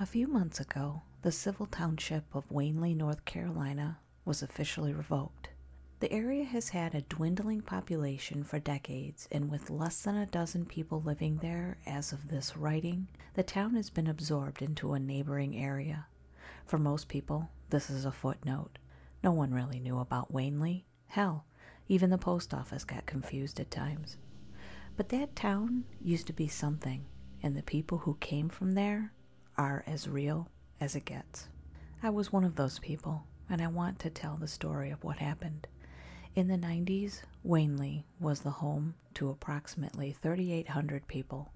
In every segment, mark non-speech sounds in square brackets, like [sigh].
A few months ago, the civil township of Wanley, North Carolina, was officially revoked. The area has had a dwindling population for decades, and with less than a dozen people living there as of this writing, the town has been absorbed into a neighboring area. For most people, this is a footnote. No one really knew about Wanley Hell, even the post office got confused at times. But that town used to be something, and the people who came from there are as real as it gets. I was one of those people, and I want to tell the story of what happened. In the 90s, Wanley was the home to approximately 3,800 people.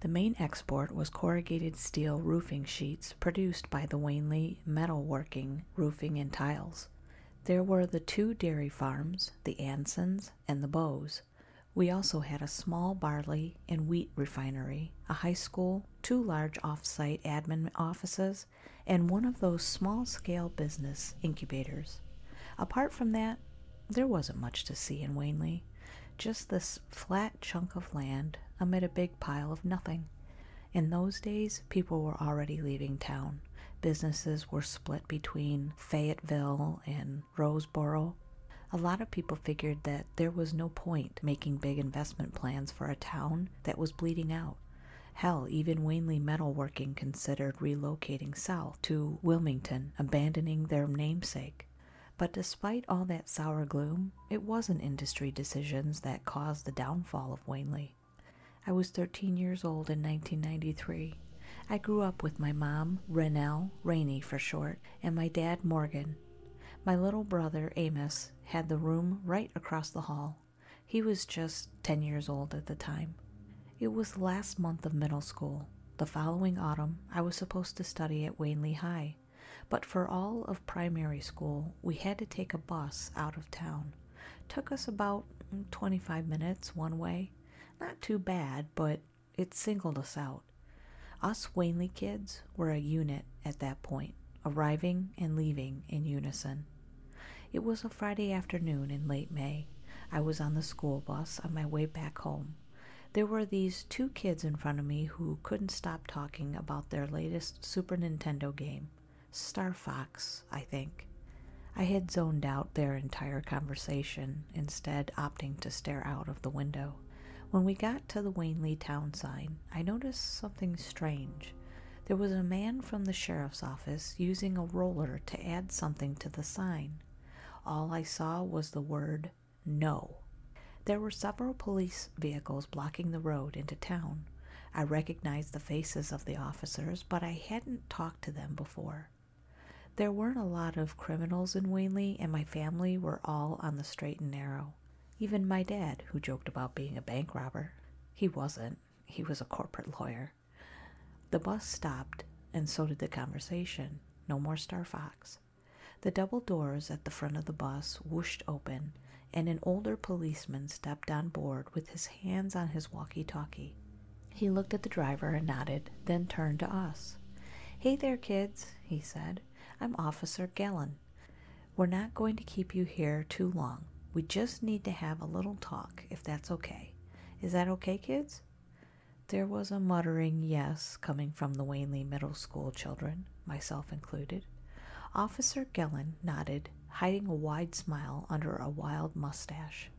The main export was corrugated steel roofing sheets produced by the Wanley metalworking, roofing, and tiles. There were the two dairy farms, the Ansons and the Bows. We also had a small barley and wheat refinery, a high school, two large off site admin offices, and one of those small scale business incubators. Apart from that, there wasn't much to see in Wanley, just this flat chunk of land amid a big pile of nothing. In those days, people were already leaving town. Businesses were split between Fayetteville and Roseboro. A lot of people figured that there was no point making big investment plans for a town that was bleeding out. Hell, even Wanley Metalworking considered relocating south to Wilmington, abandoning their namesake. But despite all that sour gloom, it wasn't industry decisions that caused the downfall of Wanley. I was 13 years old in 1993. I grew up with my mom, Renelle, Rainey for short, and my dad, Morgan. My little brother, Amos, had the room right across the hall. He was just 10 years old at the time. It was the last month of middle school. The following autumn, I was supposed to study at Wanley High, but for all of primary school, we had to take a bus out of town. Took us about 25 minutes one way. Not too bad, but it singled us out. Us Wanley kids were a unit at that point, arriving and leaving in unison. It was a Friday afternoon in late May. I was on the school bus on my way back home. There were these two kids in front of me who couldn't stop talking about their latest Super Nintendo game. Star Fox, I think. I had zoned out their entire conversation, instead, opting to stare out of the window. When we got to the Wanley town sign, I noticed something strange. There was a man from the sheriff's office using a roller to add something to the sign. All I saw was the word no. There were several police vehicles blocking the road into town. I recognized the faces of the officers, but I hadn't talked to them before. There weren't a lot of criminals in Wanley, and my family were all on the straight and narrow. Even my dad, who joked about being a bank robber. He wasn't, he was a corporate lawyer. The bus stopped, and so did the conversation. No more Star Fox. The double doors at the front of the bus whooshed open, and an older policeman stepped on board with his hands on his walkie talkie. He looked at the driver and nodded, then turned to us. Hey there, kids, he said. I'm Officer Gallen. We're not going to keep you here too long. We just need to have a little talk, if that's okay. Is that okay, kids? There was a muttering yes coming from the Wanley Middle School children, myself included. Officer Gillen nodded hiding a wide smile under a wild mustache.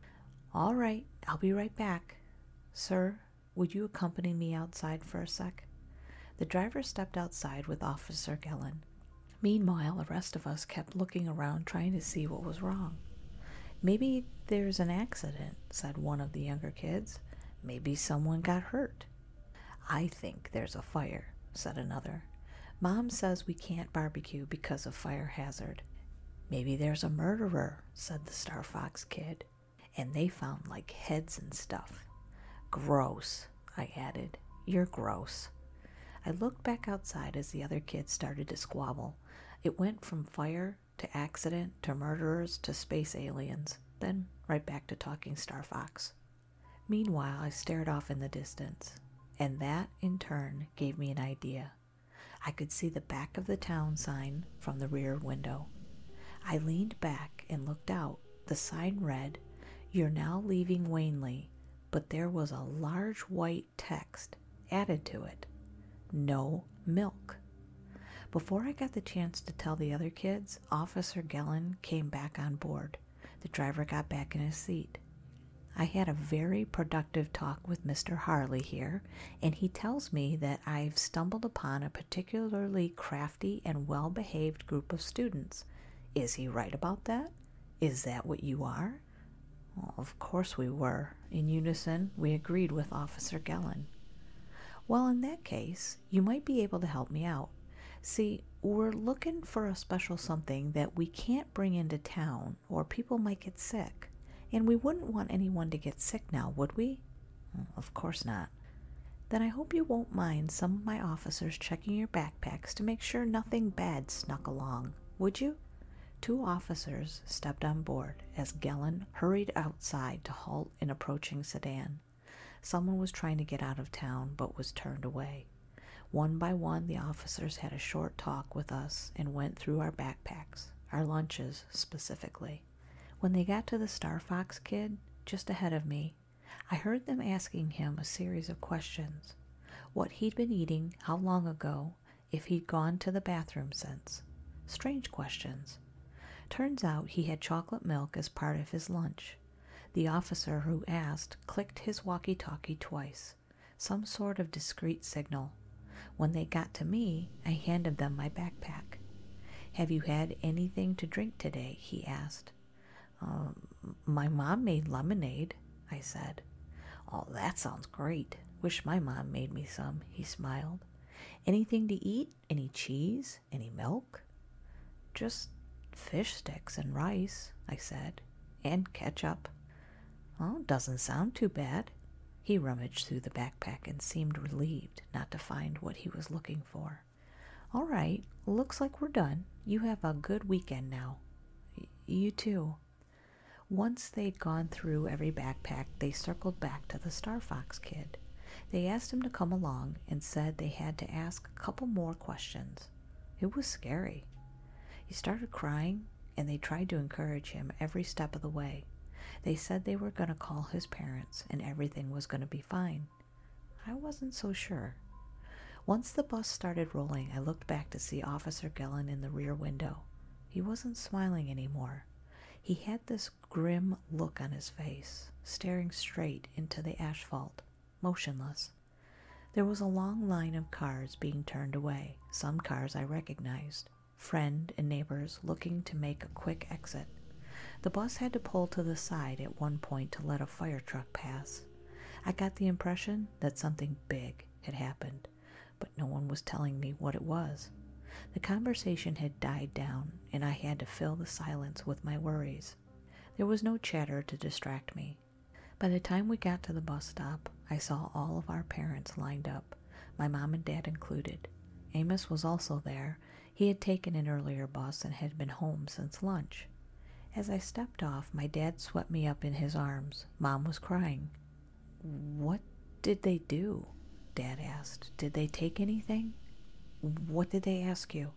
All right, I'll be right back. Sir, would you accompany me outside for a sec? The driver stepped outside with Officer Gellin. Meanwhile, the rest of us kept looking around trying to see what was wrong. Maybe there's an accident, said one of the younger kids. Maybe someone got hurt. I think there's a fire, said another. Mom says we can't barbecue because of fire hazard. Maybe there's a murderer, said the Star Fox kid. And they found like heads and stuff. Gross, I added. You're gross. I looked back outside as the other kids started to squabble. It went from fire to accident to murderers to space aliens, then right back to talking Star Fox. Meanwhile, I stared off in the distance, and that, in turn, gave me an idea. I could see the back of the town sign from the rear window. I leaned back and looked out. The sign read, You're now leaving Wanley, but there was a large white text added to it No milk. Before I got the chance to tell the other kids, Officer Gellin came back on board. The driver got back in his seat. I had a very productive talk with Mr. Harley here, and he tells me that I've stumbled upon a particularly crafty and well behaved group of students. Is he right about that? Is that what you are? of course we were. In unison, we agreed with Officer Gellin. Well, in that case, you might be able to help me out. See, we're looking for a special something that we can't bring into town or people might get sick. And we wouldn't want anyone to get sick now, would we? Mm, of course not. Then I hope you won't mind some of my officers checking your backpacks to make sure nothing bad snuck along, would you? Two officers stepped on board as Gellen hurried outside to halt an approaching sedan. Someone was trying to get out of town but was turned away. One by one, the officers had a short talk with us and went through our backpacks, our lunches specifically. When they got to the Star Fox kid, just ahead of me, I heard them asking him a series of questions what he'd been eating, how long ago, if he'd gone to the bathroom since. Strange questions. Turns out he had chocolate milk as part of his lunch. The officer who asked clicked his walkie talkie twice, some sort of discreet signal. When they got to me, I handed them my backpack. Have you had anything to drink today? he asked. Um, my mom made lemonade, I said. Oh, that sounds great. Wish my mom made me some, he smiled. Anything to eat? Any cheese? Any milk? Just fish sticks and rice, I said and ketchup. Oh, doesn't sound too bad. He rummaged through the backpack and seemed relieved not to find what he was looking for. All right, looks like we're done. You have a good weekend now. you too. Once they'd gone through every backpack, they circled back to the Star Fox kid. They asked him to come along and said they had to ask a couple more questions. It was scary. He started crying, and they tried to encourage him every step of the way. They said they were going to call his parents and everything was going to be fine. I wasn't so sure. Once the bus started rolling, I looked back to see Officer Gellin in the rear window. He wasn't smiling anymore. He had this grim look on his face, staring straight into the asphalt, motionless. There was a long line of cars being turned away, some cars I recognized, friends and neighbors looking to make a quick exit. The bus had to pull to the side at one point to let a fire truck pass. I got the impression that something big had happened, but no one was telling me what it was. The conversation had died down, and I had to fill the silence with my worries. There was no chatter to distract me, by the time we got to the bus stop, I saw all of our parents lined up, my mom and dad included. Amos was also there. He had taken an earlier bus and had been home since lunch. As I stepped off, my dad swept me up in his arms. Mom was crying. What did they do? Dad asked. Did they take anything? What did they ask you?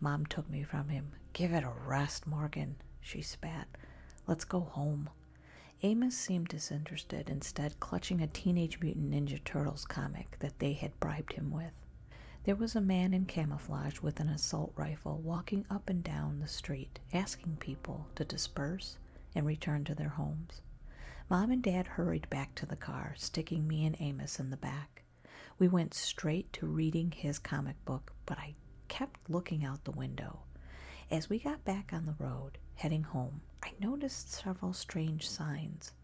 Mom took me from him. Give it a rest, Morgan, she spat. Let's go home. Amos seemed disinterested, instead, clutching a Teenage Mutant Ninja Turtles comic that they had bribed him with. There was a man in camouflage with an assault rifle walking up and down the street, asking people to disperse and return to their homes. Mom and Dad hurried back to the car, sticking me and Amos in the back. We went straight to reading his comic book, but I kept looking out the window. As we got back on the road, heading home, I noticed several strange signs.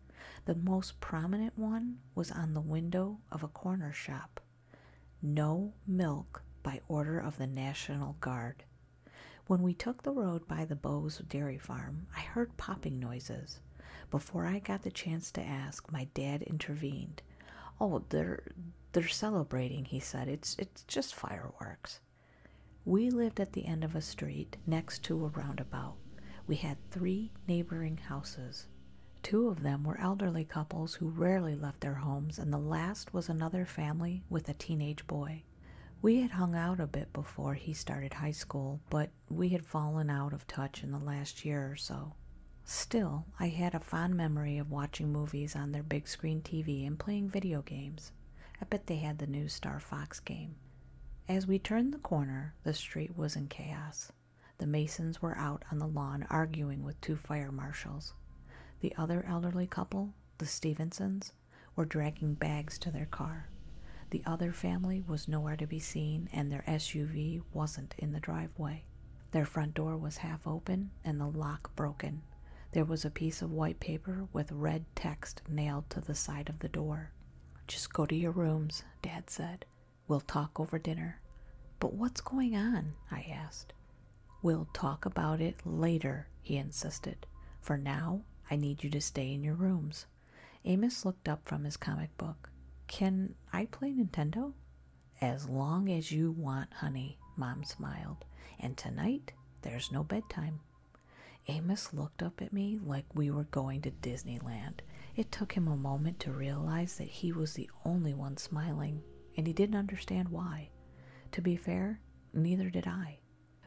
The most prominent one was on the window of a corner shop No milk by order of the National Guard. When we took the road by the Bowes dairy farm, I heard popping noises. Before I got the chance to ask, my dad intervened. Oh, there, they're celebrating, he said. It's it's just fireworks. We lived at the end of a street next to a roundabout. We had three neighboring houses. Two of them were elderly couples who rarely left their homes, and the last was another family with a teenage boy. We had hung out a bit before he started high school, but we had fallen out of touch in the last year or so. Still, I had a fond memory of watching movies on their big screen TV and playing video games. I bet they had the new Star Fox game. As we turned the corner, the street was in chaos. The Masons were out on the lawn arguing with two fire marshals. The other elderly couple, the Stevensons, were dragging bags to their car. The other family was nowhere to be seen, and their SUV wasn't in the driveway. Their front door was half open and the lock broken. There was a piece of white paper with red text nailed to the side of the door. Just go to your rooms, Dad said. We'll talk over dinner. But what's going on? I asked. We'll talk about it later, he insisted. For now, I need you to stay in your rooms. Amos looked up from his comic book. Can I play Nintendo? As long as you want, honey, Mom smiled. And tonight, there's no bedtime. Amos looked up at me like we were going to Disneyland. It took him a moment to realize that he was the only one smiling, and he didn't understand why. To be fair, neither did I.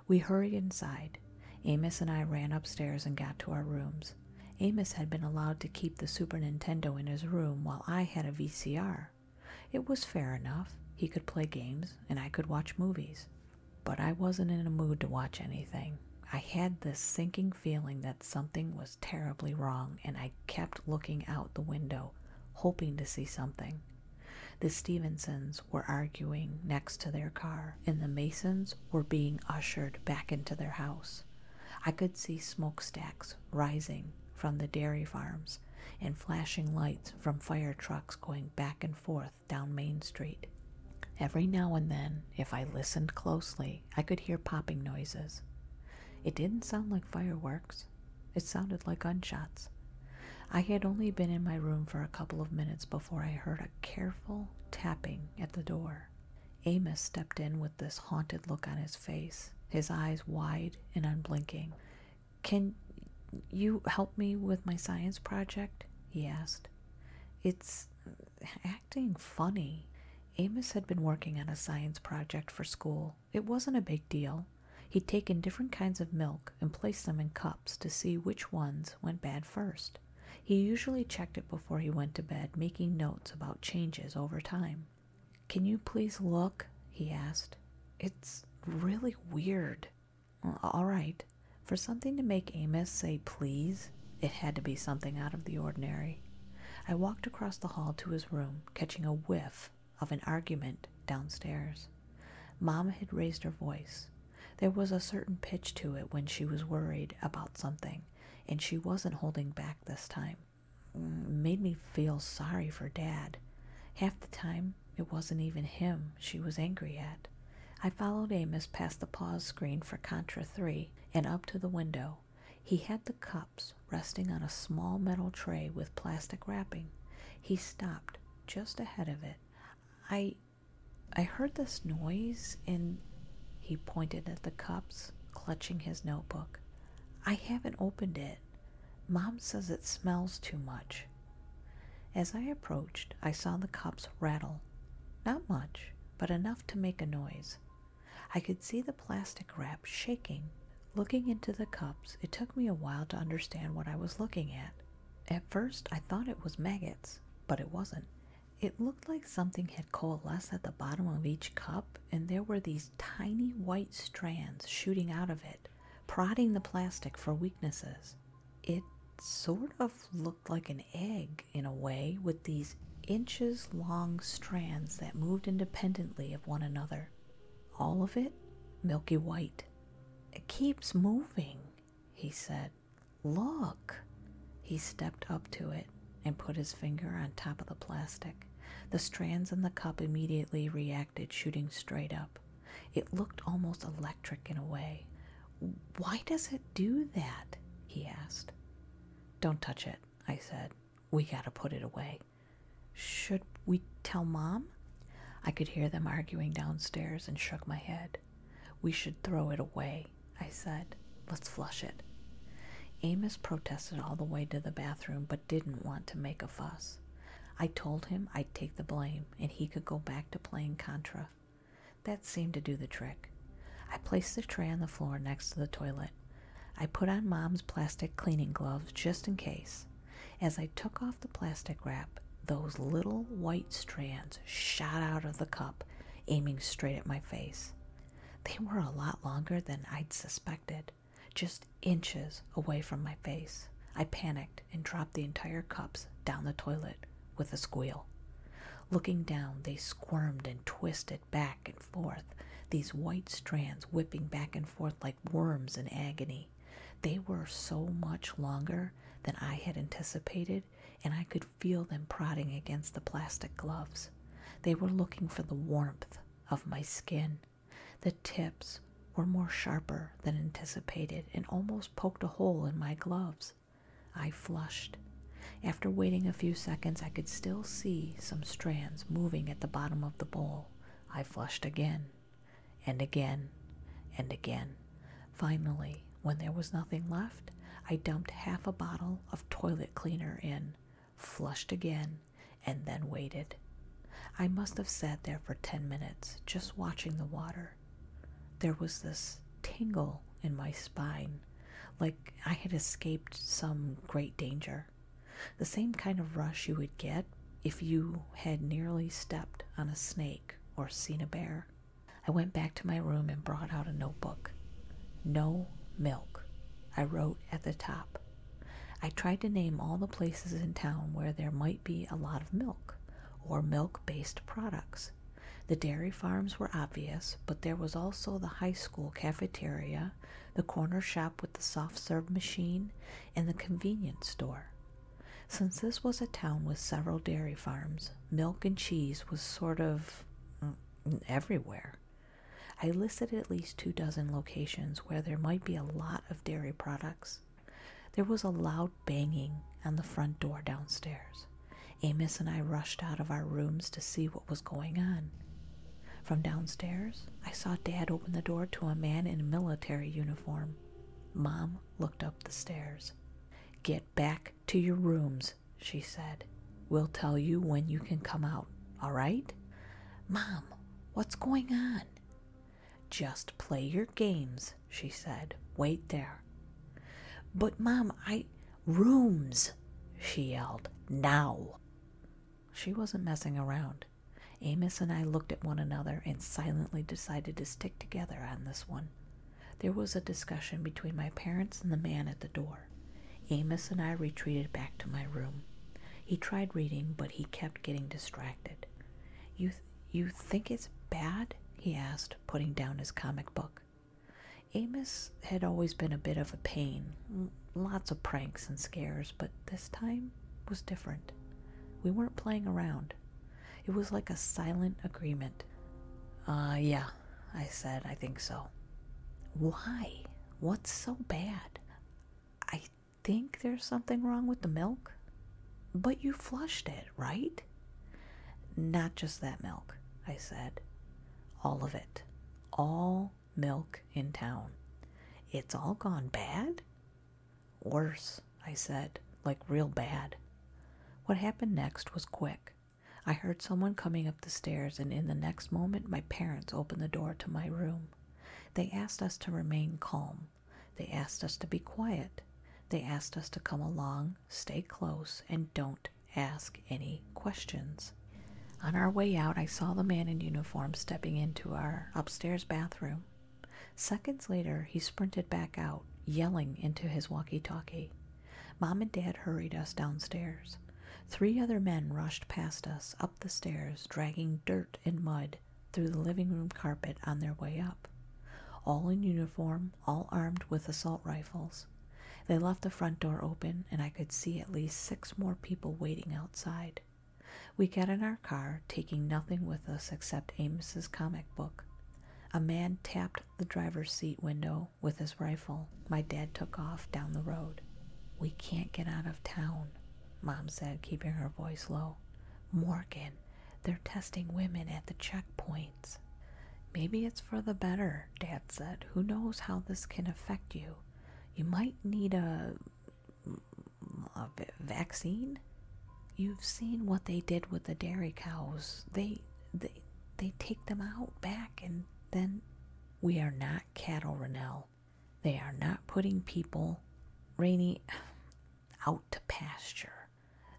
We hurried inside. Amos and I ran upstairs and got to our rooms. Amos had been allowed to keep the Super Nintendo in his room while I had a VCR it was fair enough. He could play games and I could watch movies. But I wasn't in a mood to watch anything. I had this sinking feeling that something was terribly wrong, and I kept looking out the window, hoping to see something. The Stevensons were arguing next to their car, and the Masons were being ushered back into their house. I could see smokestacks rising from the dairy farms and flashing lights from fire trucks going back and forth down Main Street. Every now and then, if I listened closely, I could hear popping noises. It didn't sound like fireworks, it sounded like gunshots. I had only been in my room for a couple of minutes before I heard a careful tapping at the door. Amos stepped in with this haunted look on his face, his eyes wide and unblinking. Can you help me with my science project? he asked. It's acting funny. Amos had been working on a science project for school. It wasn't a big deal. He'd taken different kinds of milk and placed them in cups to see which ones went bad first. He usually checked it before he went to bed, making notes about changes over time. Can you please look? he asked. It's really weird. all right. For something to make Amos say please, it had to be something out of the ordinary. I walked across the hall to his room, catching a whiff of an argument downstairs. Mama had raised her voice. There was a certain pitch to it when she was worried about something, and she wasn't holding back this time. Mm, made me feel sorry for Dad. Half the time, it wasn't even him she was angry at. I followed Amos past the pause screen for Contra 3 and up to the window. He had the cups resting on a small metal tray with plastic wrapping. He stopped just ahead of it. I I heard this noise and he pointed at the cups, clutching his notebook. I haven't opened it. Mom says it smells too much. As I approached, I saw the cups rattle. Not much, but enough to make a noise. I could see the plastic wrap shaking. Looking into the cups, it took me a while to understand what I was looking at. At first, I thought it was maggots, but it wasn't. It looked like something had coalesced at the bottom of each cup, and there were these tiny white strands shooting out of it, prodding the plastic for weaknesses. It sort of looked like an egg in a way, with these inches long strands that moved independently of one another. All of it milky white. It keeps moving, he said. Look! He stepped up to it and put his finger on top of the plastic. The strands in the cup immediately reacted, shooting straight up. It looked almost electric in a way. Why does it do that? he asked. Don't touch it, I said. We gotta put it away. Should we tell Mom? I could hear them arguing downstairs and shook my head. We should throw it away, I said. Let's flush it. Amos protested all the way to the bathroom but didn't want to make a fuss. I told him I'd take the blame and he could go back to playing Contra. That seemed to do the trick. I placed the tray on the floor next to the toilet. I put on Mom's plastic cleaning gloves just in case. As I took off the plastic wrap, those little white strands shot out of the cup, aiming straight at my face. They were a lot longer than I'd suspected just inches away from my face. I panicked and dropped the entire cups down the toilet with a squeal. Looking down, they squirmed and twisted back and forth, these white strands whipping back and forth like worms in agony. They were so much longer than I had anticipated, and I could feel them prodding against the plastic gloves. They were looking for the warmth of my skin. The tips were more sharper than anticipated and almost poked a hole in my gloves. I flushed. After waiting a few seconds, I could still see some strands moving at the bottom of the bowl. I flushed again, and again, and again. Finally, when there was nothing left, I dumped half a bottle of toilet cleaner in flushed again, and then waited. I must have sat there for ten minutes just watching the water. There was this tingle in my spine, like I had escaped some great danger. The same kind of rush you would get if you had nearly stepped on a snake or seen a bear. I went back to my room and brought out a notebook. No milk, I wrote at the top. I tried to name all the places in town where there might be a lot of milk or milk based products. The dairy farms were obvious, but there was also the high school cafeteria, the corner shop with the soft serve machine, and the convenience store. Since this was a town with several dairy farms, milk and cheese was sort of mm, everywhere. I listed at least two dozen locations where there might be a lot of dairy products. There was a loud banging on the front door downstairs. Amos and I rushed out of our rooms to see what was going on. From downstairs, I saw Dad open the door to a man in military uniform. Mom looked up the stairs. Get back to your rooms, she said. We'll tell you when you can come out, all right? Mom, What's going on? Just play your games, she said. Wait there. But, Mom, I. Rooms, she yelled. Now. She wasn't messing around. Amos and I looked at one another and silently decided to stick together on this one. There was a discussion between my parents and the man at the door. Amos and I retreated back to my room. He tried reading, but he kept getting distracted. You, you think it's bad? he asked, putting down his comic book. Amos had always been a bit of a pain, lots of pranks and scares, but this time was different. We weren't playing around. It was like a silent agreement. Uh, yeah, I said, I think so. Why? What's so bad? I think there's something wrong with the milk? But you flushed it, right? Not just that milk, I said. All of it. All milk in town. It's all gone bad? Worse, I said, like real bad. What happened next was quick. I heard someone coming up the stairs, and in the next moment, my parents opened the door to my room. They asked us to remain calm. They asked us to be quiet. They asked us to come along, stay close, and don't ask any questions. On our way out, I saw the man in uniform stepping into our upstairs bathroom. Seconds later, he sprinted back out, yelling into his walkie talkie. Mom and Dad hurried us downstairs. Three other men rushed past us, the stairs, dragging dirt and mud through the living room carpet on their way up. All in uniform, all armed with assault rifles. They left the front door open, and I could see at least six more people waiting outside. We got in our car, taking nothing with us except Amos's comic book. A man tapped the driver's seat window with his rifle. My dad took off down the road. We can't get out of town, Mom said, keeping her voice low. Morgan, they're testing women at the checkpoints. Maybe it's for the better, Dad said. Who knows how this can affect you? You might need a, a vaccine. You've seen what they did with the dairy cows. They, they, they take them out back and then we are not cattle, Rennell. They are not putting people, Rainy, out to pasture.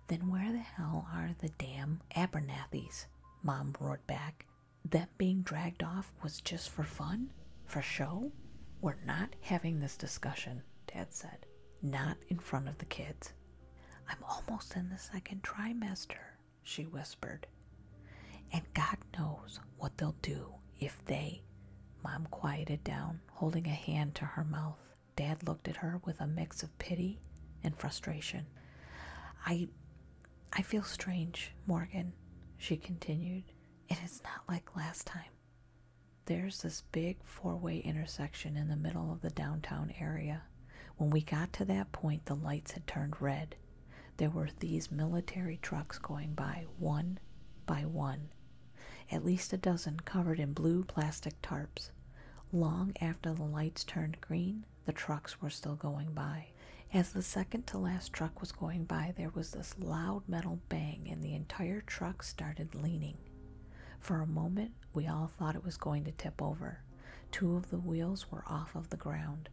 Then where the hell are the damn Abernathys? Mom roared back. Them being dragged off was just for fun? For show? We're not having this discussion, Dad said. Not in front of the kids. I'm almost in the second trimester, she whispered. And God knows what they'll do if they. Mom quieted down, holding a hand to her mouth. Dad looked at her with a mix of pity and frustration. I. I feel strange, Morgan, she continued. It is not like last time. There's this big four way intersection in the middle of the downtown area. When we got to that point, the lights had turned red. There were these military trucks going by, one by one, at least a dozen covered in blue plastic tarps. Long after the lights turned green, the trucks were still going by. As the second to last truck was going by, there was this loud metal bang, and the entire truck started leaning. For a moment, we all thought it was going to tip over. Two of the wheels were off of the ground.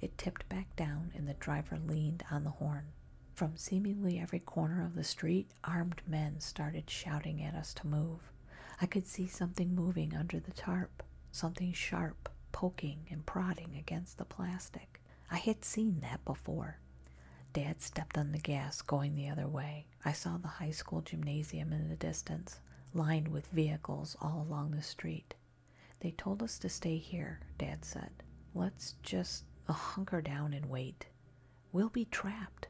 It tipped back down, and the driver leaned on the horn. From seemingly every corner of the street, armed men started shouting at us to move. I could see something moving under the tarp, something sharp, poking and prodding against the plastic. I had seen that before. Dad stepped on the gas, going the other way. I saw the high school gymnasium in the distance, lined with vehicles all along the street. They told us to stay here, Dad said. Let's just [laughs] hunker down and wait. We'll be trapped.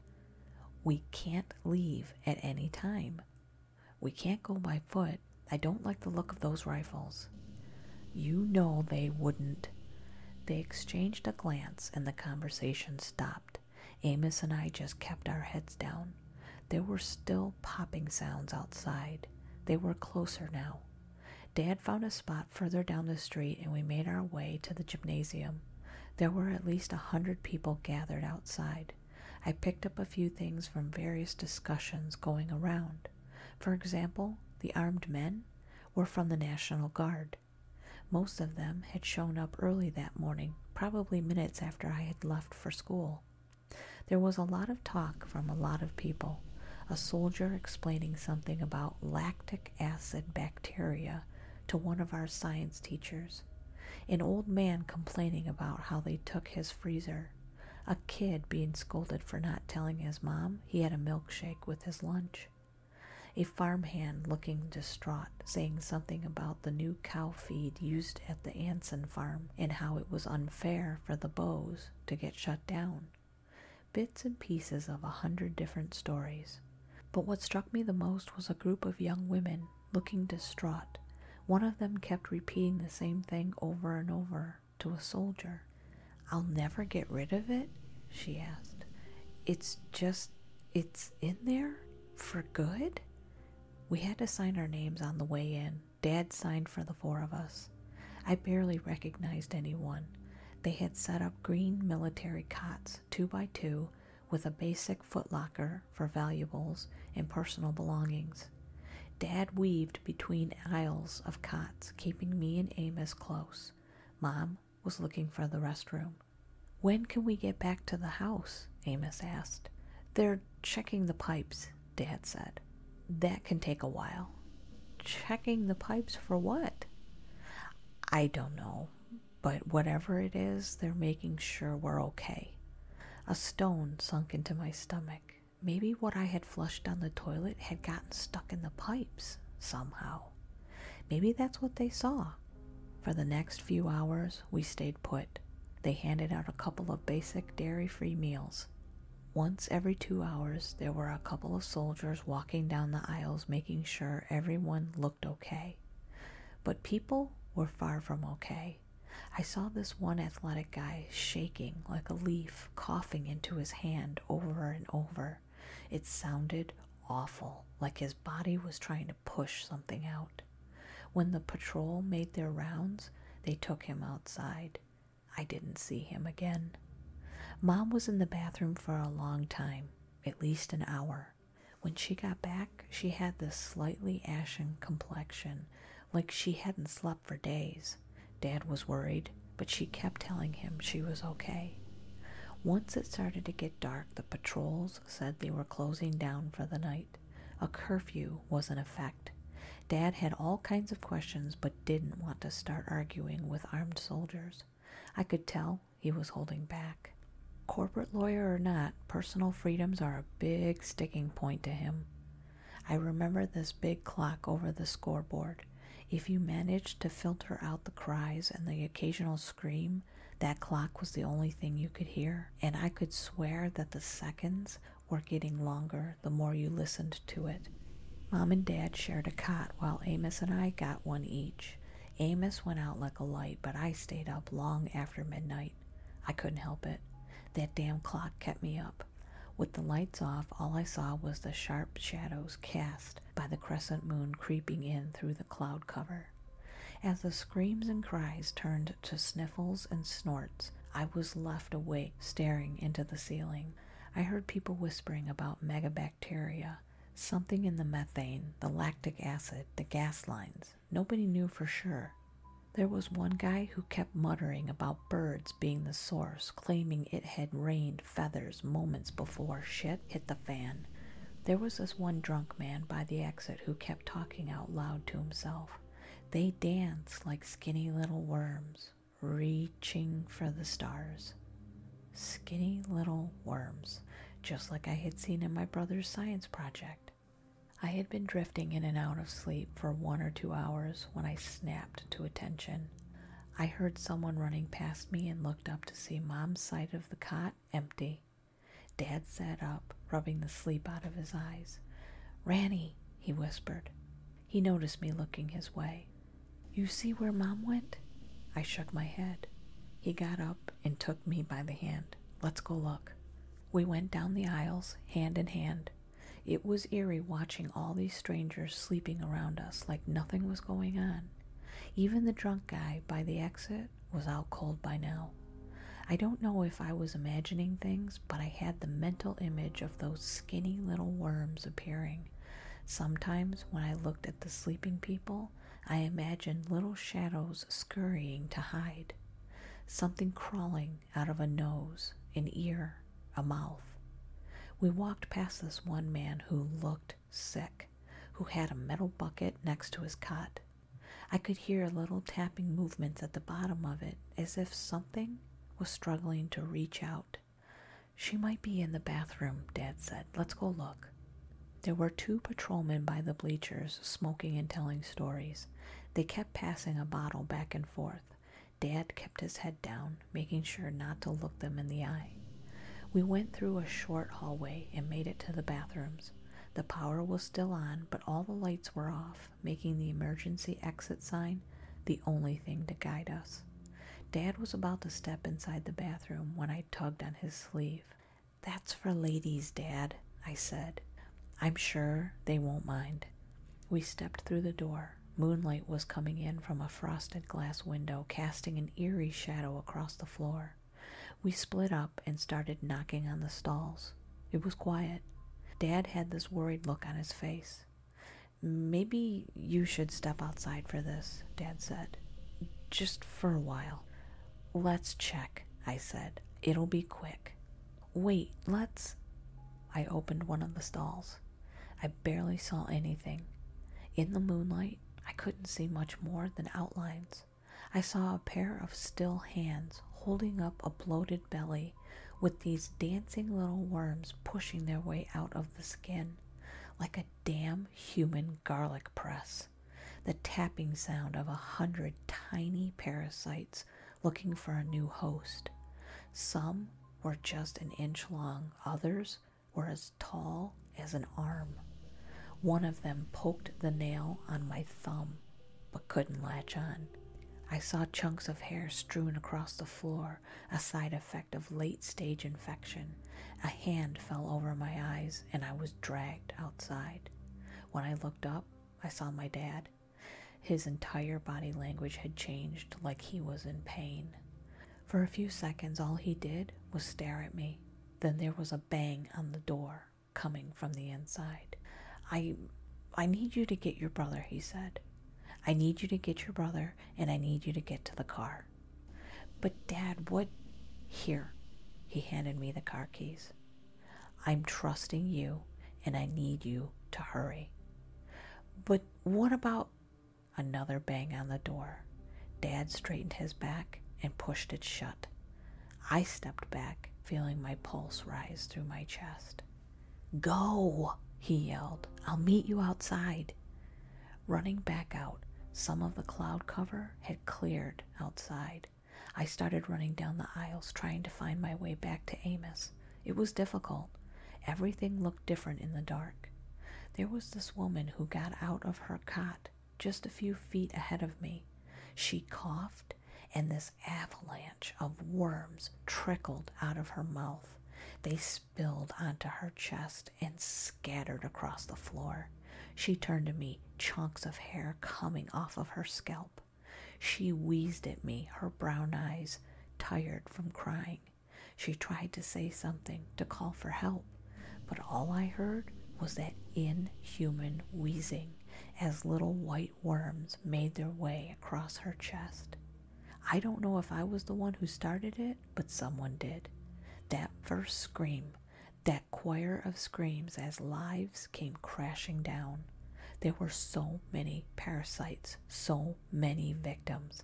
We can't leave at any time. We can't go by foot. I don't like the look of those rifles. You know they wouldn't. They exchanged a glance and the conversation stopped. Amos and I just kept our heads down. There were still popping sounds outside. They were closer now. Dad found a spot further down the street and we made our way to the gymnasium. There were at least a hundred people gathered outside. I picked up a few things from various discussions going around. For example, the armed men were from the National Guard. Most of them had shown up early that morning, probably minutes after I had left for school. There was a lot of talk from a lot of people, a soldier explaining something about lactic acid bacteria to one of our science teachers. An old man complaining about how they took his freezer. A kid being scolded for not telling his mom he had a milkshake with his lunch. A farmhand looking distraught, saying something about the new cow feed used at the Anson farm and how it was unfair for the Bows to get shut down bits and pieces of a hundred different stories. But what struck me the most was a group of young women looking distraught. One of them kept repeating the same thing over and over to a soldier. I'll never get rid of it? she asked. It's just, it's in there? For good? We had to sign our names on the way in. Dad signed for the four of us. I barely recognized anyone. They had set up green military cots, two by two, with a basic footlocker for valuables and personal belongings. Dad weaved between aisles of cots, keeping me and Amos close. Mom was looking for the restroom. When can we get back to the house? Amos asked. They're checking the pipes, Dad said that can take a while. Checking the pipes for what? I don't know, but whatever it is, they're making sure we're okay. A stone sunk into my stomach. Maybe what I had flushed down the toilet had gotten stuck in the pipes somehow. Maybe that's what they saw. For the next few hours, we stayed put. They handed out a couple of basic dairy free meals once every two hours, there were a couple of soldiers walking down the aisles making sure everyone looked okay. But people were far from okay. I saw this one athletic guy shaking like a leaf, coughing into his hand over and over. It sounded awful, like his body was trying to push something out. When the patrol made their rounds, they took him outside. I didn't see him again. Mom was in the bathroom for a long time, at least an hour. When she got back, she had this slightly ashen complexion, like she hadn't slept for days. Dad was worried, but she kept telling him she was okay. Once it started to get dark, the patrols said they were closing down for the night. A curfew was in effect. Dad had all kinds of questions, but didn't want to start arguing with armed soldiers. I could tell he was holding back. Corporate lawyer or not, personal freedoms are a big sticking point to him. I remember this big clock over the scoreboard. If you managed to filter out the cries and the occasional scream, that clock was the only thing you could hear, and I could swear that the seconds were getting longer the more you listened to it. Mom and Dad shared a cot while Amos and I got one each. Amos went out like a light, but I stayed up long after midnight. I couldn't help it. That damn clock kept me up. With the lights off, all I saw was the sharp shadows cast by the crescent moon creeping in through the cloud cover. As the screams and cries turned to sniffles and snorts, I was left awake staring into the ceiling. I heard people whispering about megabat something in the methane, the lactic acid, the gas lines. Nobody knew for sure. There was one guy who kept muttering about birds being the source, claiming it had rained feathers moments before shit hit the fan. There was this one drunk man by the exit who kept talking out loud to himself. They dance like skinny little worms reaching for the stars. Skinny little worms, just like I had seen in my brother's science project. I had been drifting in and out of sleep for one or two hours when I snapped to attention. I heard someone running past me and looked up to see Mom's side of the cot empty. Dad sat up, rubbing the sleep out of his eyes. Ranny, he whispered. He noticed me looking his way. You see where Mom went? I shook my head. He got up and took me by the hand. Let's go look. We went down the aisles, hand in hand. It was eerie watching all these strangers sleeping around us like nothing was going on. Even the drunk guy by the exit was out cold by now. I don't know if I was imagining things, but I had the mental image of those skinny little worms appearing Sometimes, when I looked at the sleeping people, I imagined little shadows scurrying to hide, something crawling out of a nose, an ear, a mouth. We walked past this one man who looked sick, who had a metal bucket next to his cot. I could hear little tapping movements at the bottom of it as if something was struggling to reach out. She might be in the bathroom, Dad said. Let's go look. There were two patrolmen by the bleachers, smoking and telling stories. They kept passing a bottle back and forth. Dad kept his head down, making sure not to look them in the eye. We went through a short hallway and made it to the bathrooms. The power was still on, but all the lights were off, making the emergency exit sign the only thing to guide us. Dad was about to step inside the bathroom when I tugged on his sleeve. That's for ladies, Dad, I said. I'm sure they won't mind. We stepped through the door. Moonlight was coming in from a frosted glass window, casting an eerie shadow across the floor. We split up and started knocking on the stalls. It was quiet. Dad had this worried look on his face. Maybe you should step outside for this, Dad said. Just for a while. Let's check, I said. It'll be quick. Wait, let's. I opened one of the stalls. I barely saw anything. In the moonlight, I couldn't see much more than outlines. I saw a pair of still hands holding up a bloated belly with these dancing little worms pushing their way out of the skin, like a damn human garlic press, the tapping sound of a hundred tiny parasites looking for a new host. Some were just an inch long, others were as tall as an arm. One of them poked the nail on my thumb, but couldn't latch on. I saw chunks of hair strewn across the floor a side effect of late stage infection. A hand fell over my eyes and I was dragged outside. When I looked up, I saw my dad. His entire body language had changed like he was in pain. For a few seconds, all he did was stare at me. Then there was a bang on the door coming from the inside. I I need you to get your brother, he said. I need you to get your brother and I need you to get to the car. But, Dad, what? Here. He handed me the car keys. I'm trusting you, and I need you to hurry. But what about? Another bang on the door. Dad straightened his back and pushed it shut. I stepped back, feeling my pulse rise through my chest. Go, he yelled. I'll meet you outside. Running back out, some of the cloud cover had cleared outside. I started running down the aisles trying to find my way back to Amos. It was difficult. Everything looked different in the dark. There was this woman who got out of her cot just a few feet ahead of me. She coughed, and this avalanche of worms trickled out of her mouth. They spilled onto her chest and scattered across the floor. She turned to me, chunks of hair coming off of her scalp. She wheezed at me, her brown eyes tired from crying. She tried to say something, to call for help, but all I heard was that inhuman wheezing as little white worms made their way across her chest. I don't know if I was the one who started it, but someone did. That first scream, that choir of screams as lives came crashing down. There were so many parasites, so many victims.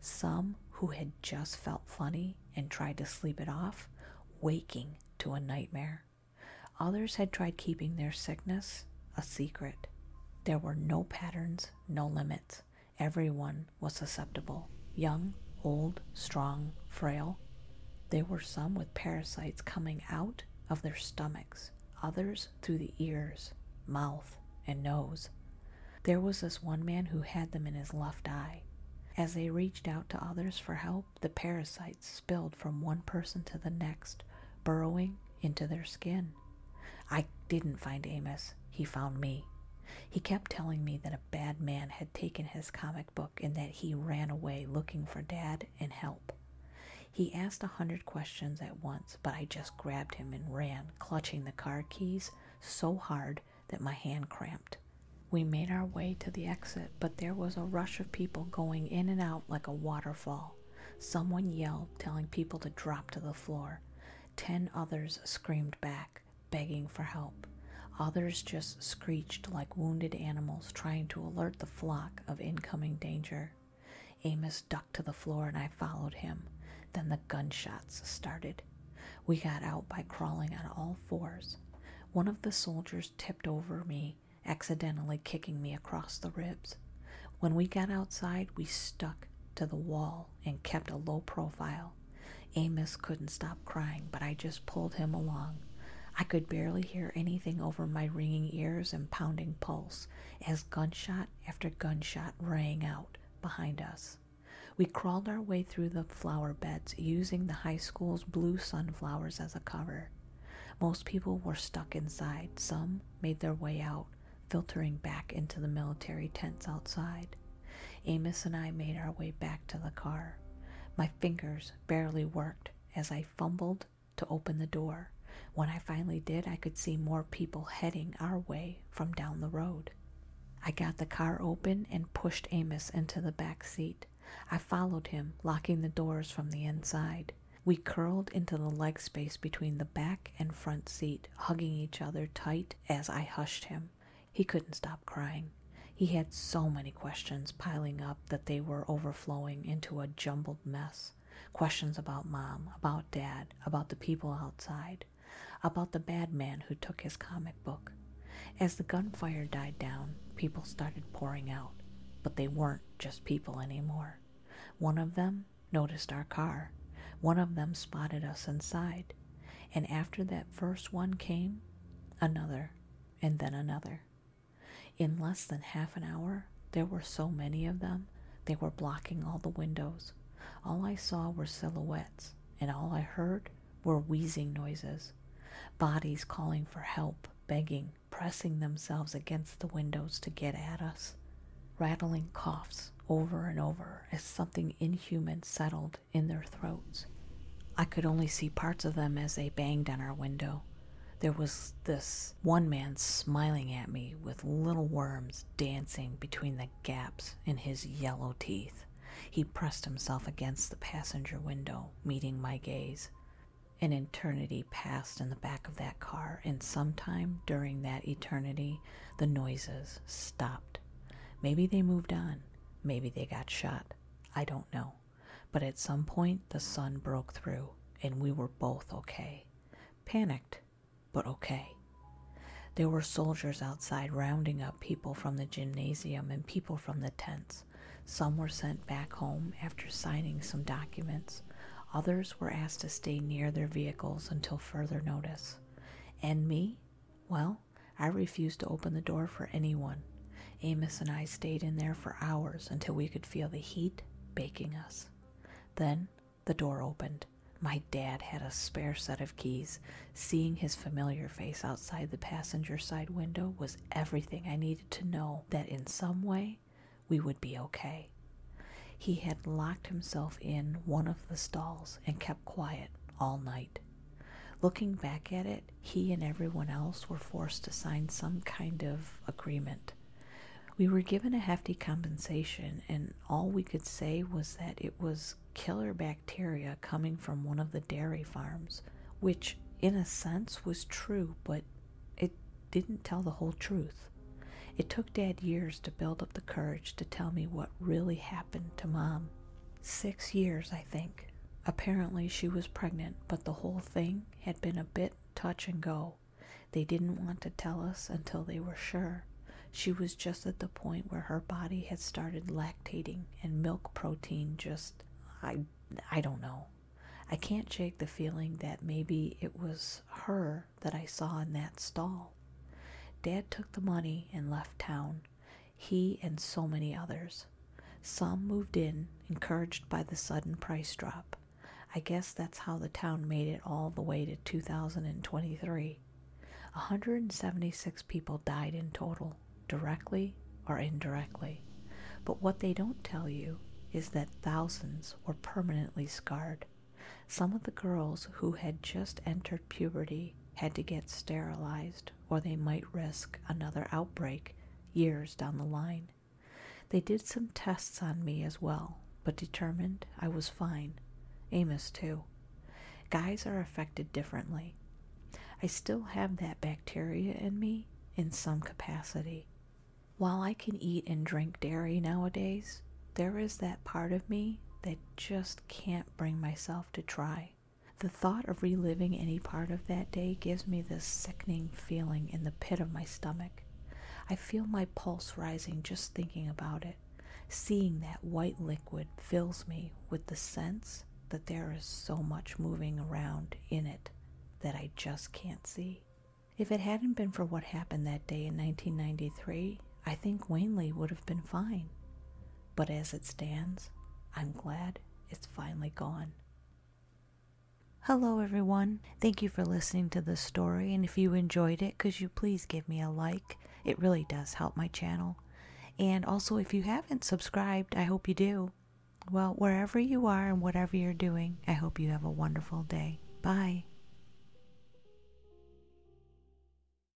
Some who had just felt funny and tried to sleep it off, waking to a nightmare. Others had tried keeping their sickness a secret. There were no patterns, no limits. Every one was susceptible young, old, strong, frail. There were some with parasites coming out of their stomachs, others through the ears, mouth, and nose. There was this one man who had them in his left eye. As they reached out to others for help, the parasites spilled from one person to the next, burrowing into their skin. I didn't find Amos he found me. He kept telling me that a bad man had taken his comic book and that he ran away looking for Dad and help. He asked a hundred questions at once, but I just grabbed him and ran, clutching the car keys so hard that my hand cramped. We made our way to the exit, but there was a rush of people going in and out like a waterfall. Someone yelled, telling people to drop to the floor. Ten others screamed back begging for help. Others just screeched like wounded animals trying to alert the flock of incoming danger. Amos ducked to the floor and I followed him. Then the gunshots started. We got out by crawling on all fours. One of the soldiers tipped over me, accidentally kicking me across the ribs. When we got outside, we stuck to the wall and kept a low profile. Amos couldn't stop crying, but I just pulled him along. I could barely hear anything over my ringing ears and pounding pulse as gunshot after gunshot rang out behind us. We crawled our way through the flower beds using the high school's blue sunflowers as a cover. Most people were stuck inside, some made their way out, filtering back into the military tents outside. Amos and I made our way back to the car. My fingers barely worked as I fumbled to open the door. When I finally did, I could see more people heading our way from down the road. I got the car open and pushed Amos into the back seat. I followed him, locking the doors from the inside. We curled into the leg space between the back and front seat, hugging each other tight as I hushed him. He couldn't stop crying. He had so many questions piling up that they were overflowing into a jumbled mess. Questions about mom, about dad, about the people outside, about the bad man who took his comic book. As the gunfire died down, people started pouring out, but they weren't just people anymore. One of them noticed our car. One of them spotted us inside. And after that first one came, another, and then another. In less than half an hour, there were so many of them, they were blocking all the windows. All I saw were silhouettes, and all I heard were wheezing noises, bodies calling for help, begging, pressing themselves against the windows to get at us, rattling coughs over and over as something inhuman settled in their throats. I could only see parts of them as they banged on our window. There was this one man smiling at me with little worms dancing between the gaps in his yellow teeth. He pressed himself against the passenger window, meeting my gaze. An eternity passed in the back of that car, and sometime during that eternity, the noises stopped. Maybe they moved on. Maybe they got shot. I don't know. But at some point, the sun broke through, and we were both okay. Panicked, but okay. There were soldiers outside rounding up people from the gymnasium and people from the tents. Some were sent back home after signing some documents. Others were asked to stay near their vehicles until further notice. And me? Well, I refused to open the door for anyone. Amos and I stayed in there for hours until we could feel the heat baking us. Then the door opened. My dad had a spare set of keys. Seeing his familiar face outside the passenger side window was everything I needed to know that in some way we would be okay. He had locked himself in one of the stalls and kept quiet all night. Looking back at it, he and everyone else were forced to sign some kind of agreement. We were given a hefty compensation, and all we could say was that it was killer bacteria coming from one of the dairy farms, which, in a sense, was true, but it didn't tell the whole truth. It took Dad years to build up the courage to tell me what really happened to Mom six years, I think. Apparently, she was pregnant, but the whole thing had been a bit touch and go. They didn't want to tell us until they were sure. She was just at the point where her body had started lactating and milk protein just I I don't know. I can't shake the feeling that maybe it was her that I saw in that stall. Dad took the money and left town he and so many others. Some moved in, encouraged by the sudden price drop. I guess that's how the town made it all the way to 2023. A 176 people died in total, directly or indirectly. But what they don't tell you is that thousands were permanently scarred. Some of the girls who had just entered puberty had to get sterilized, or they might risk another outbreak years down the line. They did some tests on me as well, but determined I was fine. Amos, too. Guys are affected differently. I still have that bacteria in me in some capacity. While I can eat and drink dairy nowadays, there is that part of me that just can't bring myself to try. The thought of reliving any part of that day gives me this sickening feeling in the pit of my stomach. I feel my pulse rising just thinking about it. Seeing that white liquid fills me with the sense that there is so much moving around in it that I just can't see. If it hadn't been for what happened that day in 1993, I think Wanley would have been fine but as it stands, I'm glad it's finally gone. Hello, everyone. Thank you for listening to this story. And if you enjoyed it, could you please give me a like? It really does help my channel. And also, if you haven't subscribed, I hope you do. Well, wherever you are and whatever you're doing, I hope you have a wonderful day. Bye.